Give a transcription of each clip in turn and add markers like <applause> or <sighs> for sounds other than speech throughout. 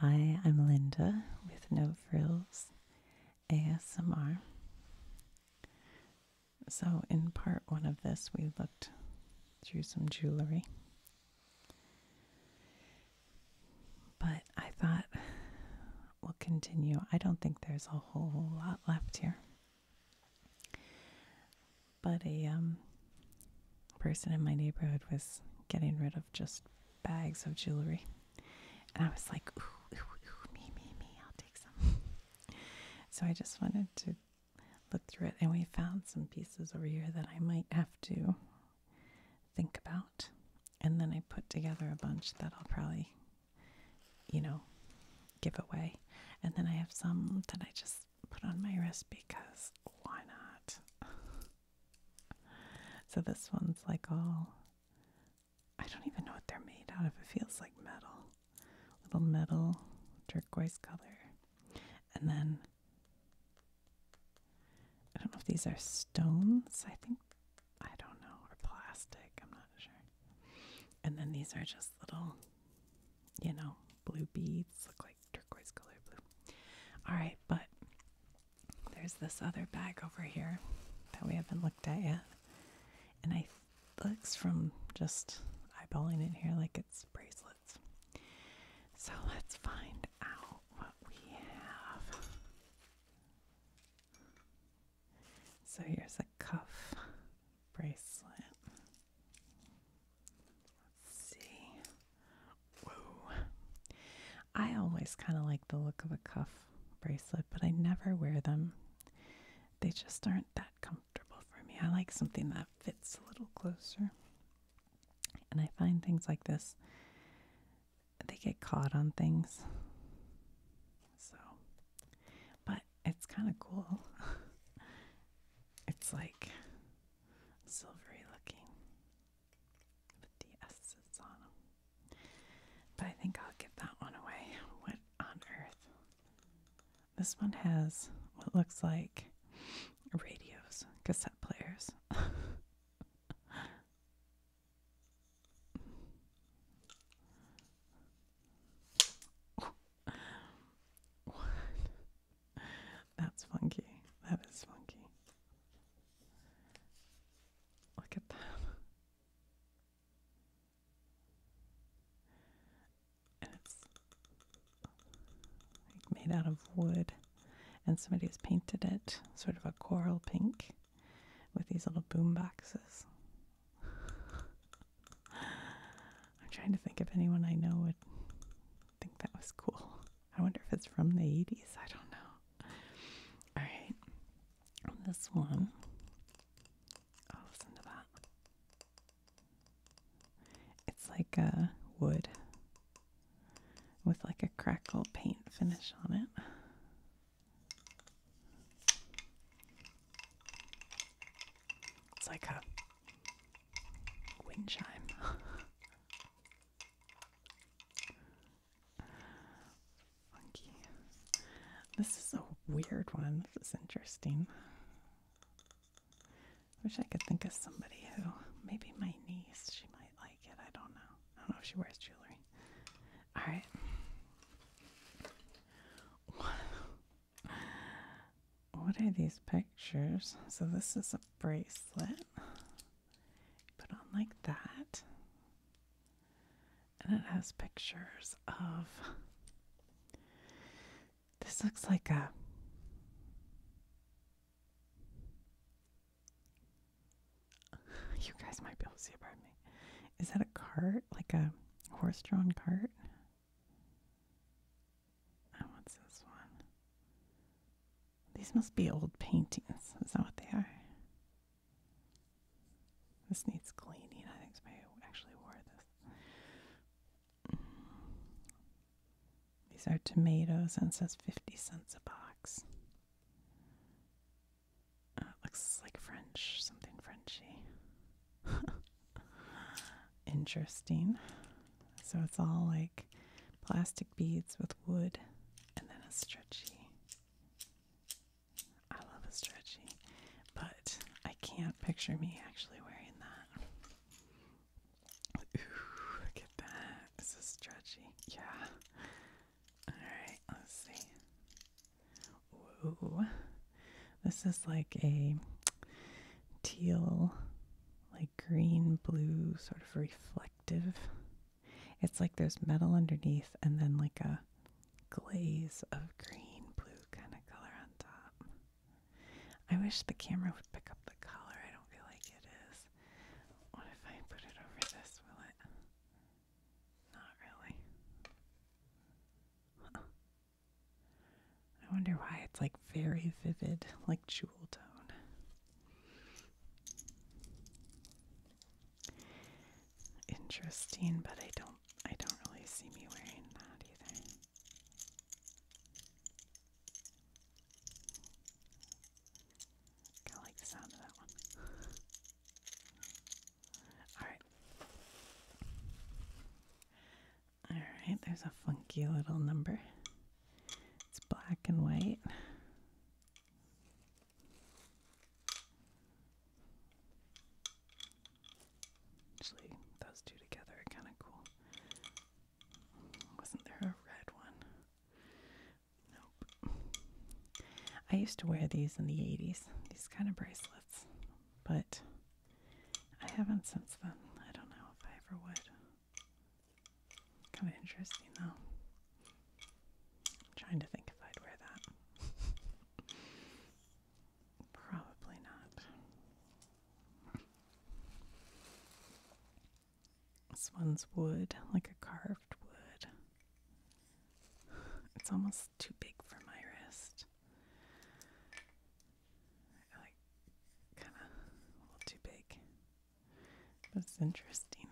Hi, I'm Linda with No Frills ASMR. So, in part one of this, we looked through some jewelry. But I thought we'll continue. I don't think there's a whole lot left here. But a um, person in my neighborhood was getting rid of just bags of jewelry. And I was like, me, me, me, I'll take some. <laughs> so I just wanted to look through it. And we found some pieces over here that I might have to think about. And then I put together a bunch that I'll probably, you know, give away. And then I have some that I just put on my wrist because why not? <laughs> So this one's like all I don't even know what they're made out of. It feels like metal. Little metal turquoise color. And then I don't know if these are stones. I think I don't know or plastic. I'm not sure. And then these are just little you know, blue beads look like turquoise color blue. Alright, but there's this other bag over here that we haven't looked at yet. And I looks from just eyeballing it here like it's bracelets. So let's find out what we have. So here's a cuff bracelet see. Whoa. I always kind of like the look of a cuff bracelet, but I never wear them. They just aren't that comfortable for me. I like something that fits a little closer. And I find things like this, they get caught on things. So, but it's kind of cool. <laughs> it's like silvery looking with the S's on But I think I'll give that one away. What on earth? This one has what looks like radios, cassette players. <laughs> what? That's funky. That is funky. Look at that. And it's made out of wood, and somebody has painted it sort of a coral pink with these little boom boxes. <laughs> I'm trying to think of anyone I know would think that was cool. I wonder if it's from the 80s. I don't know. All right. This one. Oh, listen to that. It's like a wood with like a crackle paint finish on it. It's like a wind chime. <laughs> Monkey. This is a weird one. This is interesting. I Wish I could think of somebody who maybe my niece. She might like it. I don't know. I don't know if she wears jewelry. All right. What are these pictures? So this is a bracelet. Put on like that. And it has pictures of. This looks like a. You guys might be able to see part of me. Is that a cart? Like a horse drawn cart? And what's this one? These must be old paintings. Is that what they are? This needs cleaning. I think somebody actually wore this. These are tomatoes and says 50 cents a box. Uh, looks like French, something Frenchy. <laughs> Interesting. So it's all like plastic beads with wood and then a stretchy. I love a stretchy, but I can't picture me actually wearing that. look at that. This is stretchy. Yeah. Alright, let's see. Whoa. This is like a teal, like green blue, sort of reflect. It's like there's metal underneath and then like a glaze of green blue kind of color on top. I wish the camera would pick up the color. I don't feel like it is. What if I put it over this? Will it? Not really. I wonder why it's like very vivid, like jewel tone. Interesting, but I don't I don't really see me wearing that either. Kinda like the sound of that one. Alright. Alright, there's a funky little number. It's black and white. Actually, those two together are kind of cool. Wasn't there a red one? Nope. I used to wear these in the 80s, these kind of bracelets, but I haven't since then. I don't know if I ever would. Kind of interesting though. I'm trying to think if I'd wear that. <laughs> Probably not. This one's wood, like a carved wood. <sighs> It's almost too big for my wrist. like kind of a little too big. That's interesting.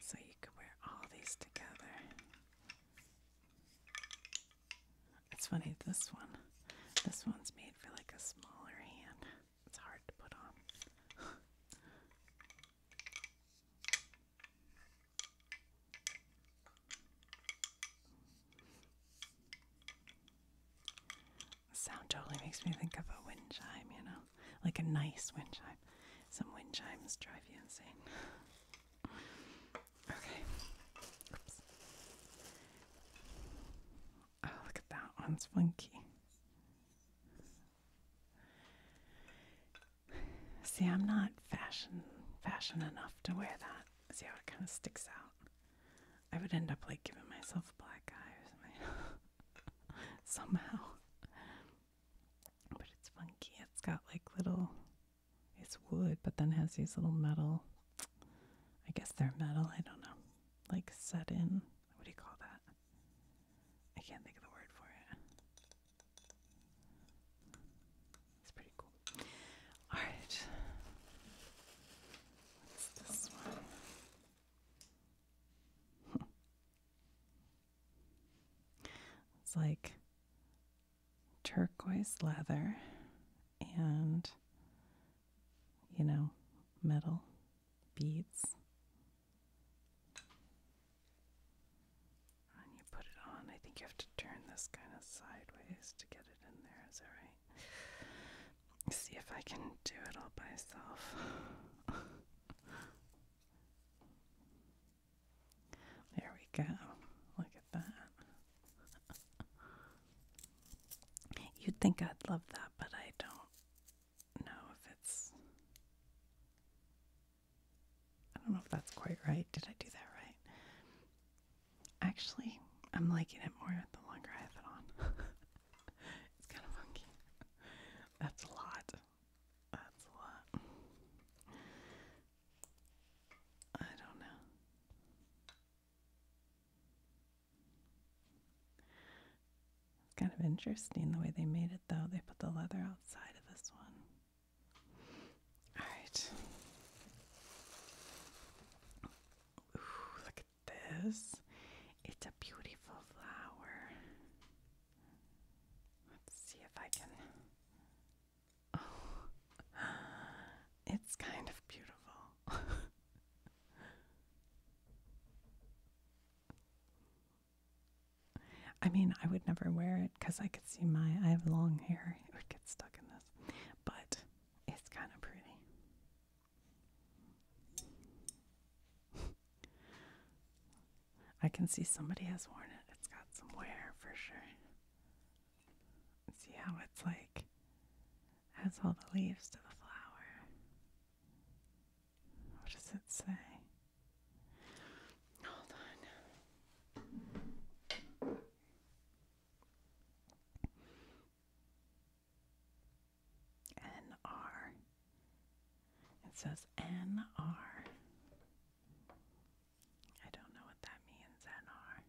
So you could wear all these together. It's funny, this one, this one's made for like a smaller hand. It's hard to put on. The sound totally makes me think of a wind chime, you know? Like a nice wind chime. Some wind chimes drive you insane. <sighs> okay. Oh, look at that one's funky. See, I'm not fashion fashion enough to wear that. See how it kind of sticks out. I would end up like giving myself a black eye or something. Somehow. But it's funky. It's got like little, it's wood, but then has these little metal, I guess they're metal, I don't know, like set in. What do you call that? I can't think of the word for it. It's pretty cool. Alright. What's this one? It's like turquoise leather and, you know, metal beads. And you put it on. I think you have to turn this kind of sideways to get it in there. Is that right? see if I can do it all by myself. <laughs> there we go. Look at that. You'd think I'd love that, but I don't know if it's. I don't know if that's quite right. Did I do that right? Actually, I'm liking it more the longer I have it on. <laughs> it's kind of funky. That's a lot. That's a lot. I don't know. It's kind of interesting the way they made it, though. They put the leather outside of this one. All right this. It's a beautiful flower. Let's see if I can. Oh, it's kind of beautiful. <laughs> I mean, I would never wear it because I could see my. I have long hair, it would get stuck in this. But it's kind of pretty. I can see somebody has worn it. It's got some wear for sure. See how it's like has all the leaves to the flower. What does it say? Hold on. NR. It says N don't know what that means, N R.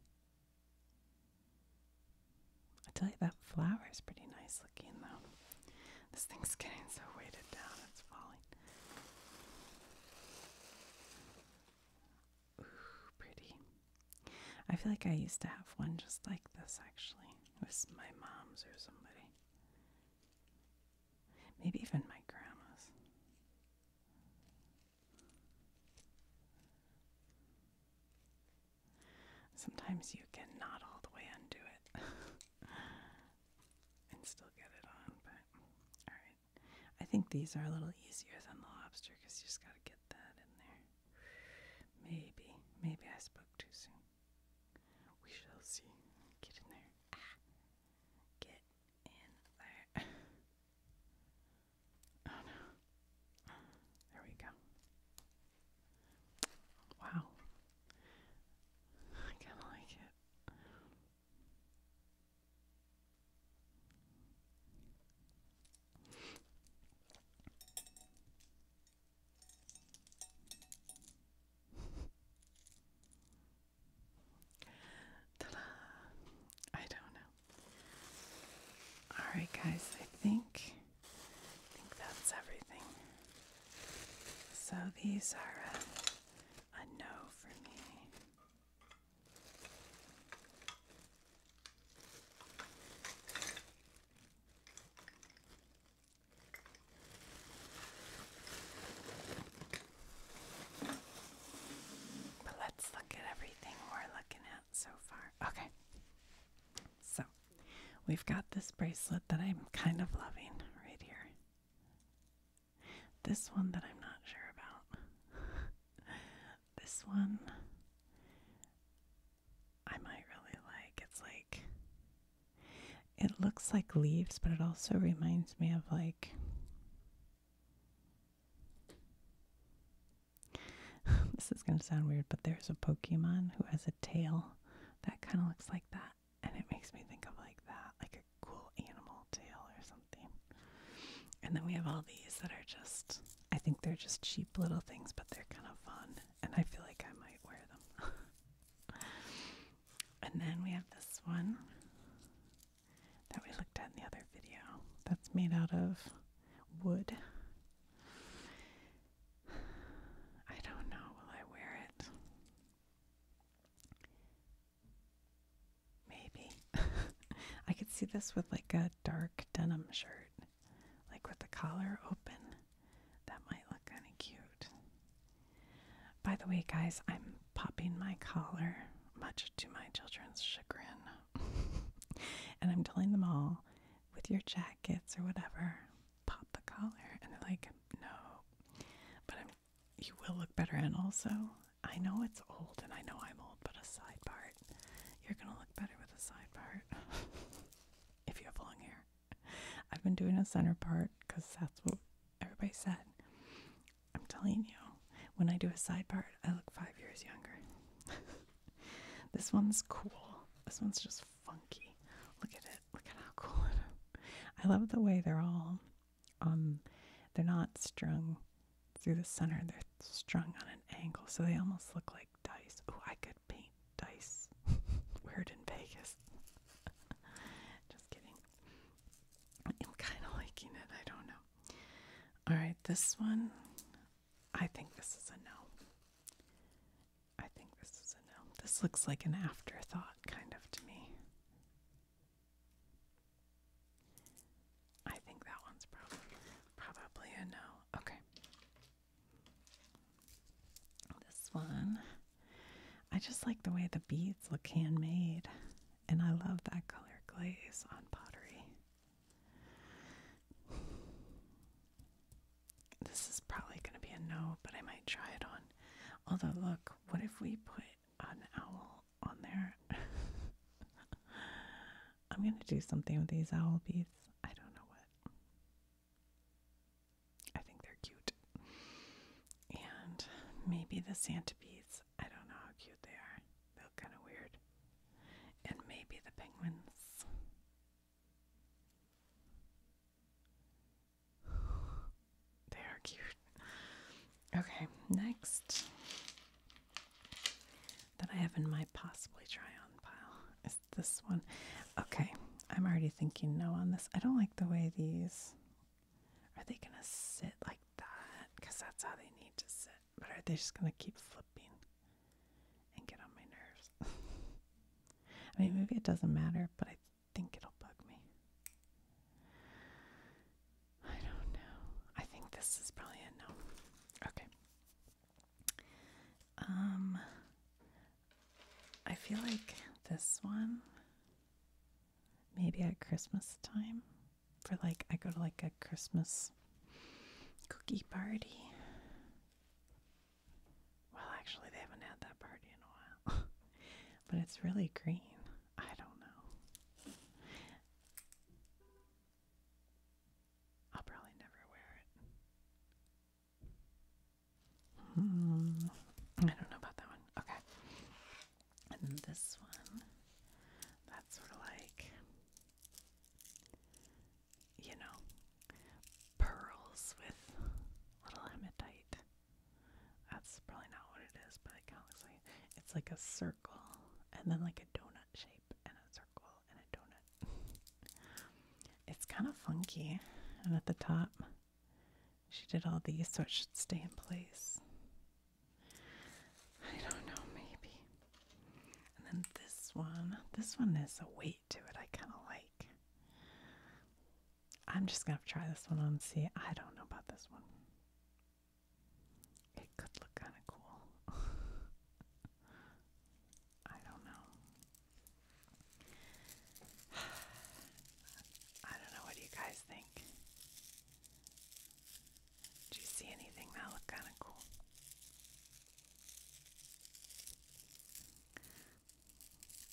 I tell you, that flower is pretty nice looking, though. This thing's getting so weighted down, it's falling. Ooh, pretty. I feel like I used to have one just like this actually. It was my mom's or somebody. Maybe even my grandma's. Sometimes you can not all the way undo it <laughs> and still get it on, but alright. I think these are a little easier than the lobster because you just got to get that in there. Maybe, maybe I spoke too soon. We shall see. Get in there. Ah. Get in there. <laughs> oh no. There we go. Wow. I kind of like it. Ta-da! I don't know. All right, guys. I think I think that's everything. So these are uh, a, no for me let's look at everything we're looking at so far. Okay. So we've got this bracelet that I'm kind of loving right here. This one that I'm not sure about. <laughs> this one. I might really like. It's like it looks like leaves, but it also reminds me of like <sighs> this is going to sound weird, but there's a Pokemon who has a tail that kind of looks like that, and it makes me think of like that, like a cool animal tail or something. And then we have all these that are just I think they're just cheap little things, but they're kind of fun, and I feel like I might wear them. <laughs> and then we have this one that we looked at in the other video that's made out of wood. <sighs> I don't know, will I wear it? Maybe. <laughs> I could see this with like a dark denim shirt like with the collar open. That might look kind of cute. By the way, guys, I'm popping my collar, much to my children's chagrin. <laughs> and I'm telling them all, with your jackets or whatever, pop the collar. And they're like, no. But I'm, you will look better. And also, I know it's old and I know I'm old, but a side part, you're going to look better with a side part. <laughs> if you have long hair. I've been doing a center part because that's what everybody said. I'm telling you, when I do a side part, I look five years younger. <laughs> this one's cool. This one's just funky. Look at it. Look at how cool it is. I love the way they're all, um, they're not strung through the center. They're strung on an angle, so they almost look like dice. Oh, I could paint dice. <laughs> Weird in Vegas. <laughs> Just kidding. I'm kind of liking it. I don't know. All right, this one. I think this is a no. I think this is a no. This looks like an afterthought, kind of to me. I think that one's probably probably a no. Okay. This one, I just like the way the beads look handmade, and I love that color glaze on pottery. This is probably going to be a no, but I might try it on. Although, look, what if we put an owl on there? <laughs> I'm going to do something with these owl beads. I don't know what. I think they're cute. And maybe the Santa bees. I don't know how cute they are. They look kind of weird. And maybe the penguins. <sighs> They are cute. Okay, next that I have in my possibly try on pile is this one. Okay, I'm already thinking no on this. I don't like the way these are they gonna sit like that because that's how they need to sit, but are they just gonna keep flipping and get on my nerves? <laughs> I mean, maybe it doesn't matter, but I think it'll bug me. I don't know. I think this is probably a no. Okay. Um, I feel like this one, maybe at Christmas time, for like, I go to like a Christmas cookie party. Well, actually, they haven't had that party in a while, <laughs> but it's really green. I don't know. I'll probably never wear it. Hmm. I don't know about that one. Okay. And this one, that's sort of like, you know, pearls with little hematite. That's probably not what it is, but it kind of looks like it's like a circle and then like a donut shape and a circle and a donut it's kind of funky. And at the top, she did all these, so it should stay in place. I don't know, maybe. And then this one, this one has a weight to it I kind of like. I'm just going to try this one on and see. I don't know about this one. It could look kind of cool. <laughs> I don't know. <sighs> I don't know. What do you guys think? Do you see anything that looked kind of cool?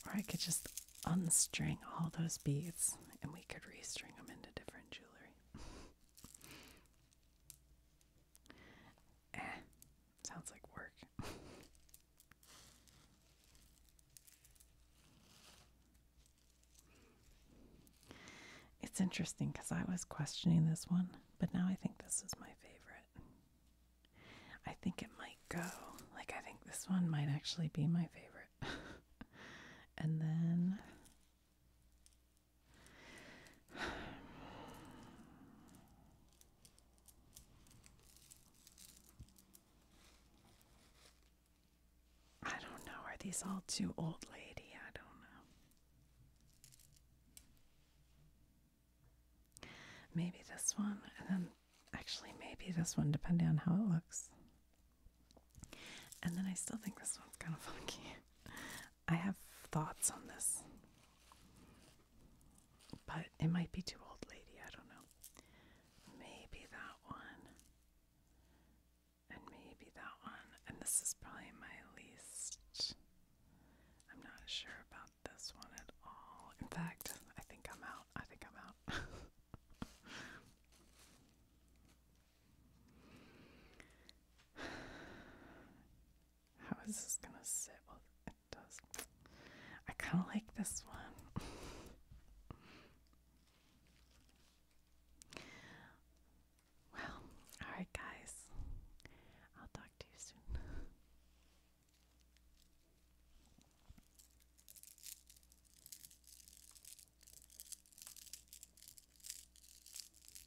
Or I could just unstring all those beads and we could restring them into different jewelry. <laughs> Eh, sounds like work. it's interesting because I was questioning this one, but now I think this is my favorite. I think it might go. Like, I think this one might actually be my favorite. <laughs> and then. I don't know. Are these all too old lady? I don't know. Maybe this one, and then actually, maybe this one, depending on how it looks. And then I still think this one's kind of <laughs> funky. I have thoughts on this, but it might be too old, lady. I don't know. Maybe that one, and maybe that one, and this is probably my least. I'm not sure about this one at all. In fact, I think I'm out. I think I'm out. <laughs> How is this gonna sit? Well, it does. I kind of like this one. well, alright, guys. I'll talk to you soon.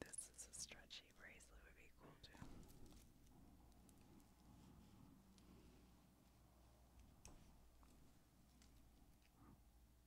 This is a stretchy bracelet would be cool too.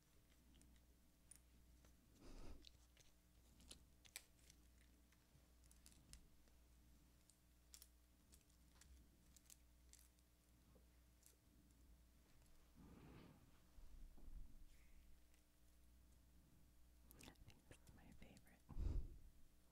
<laughs> I think this is my favorite.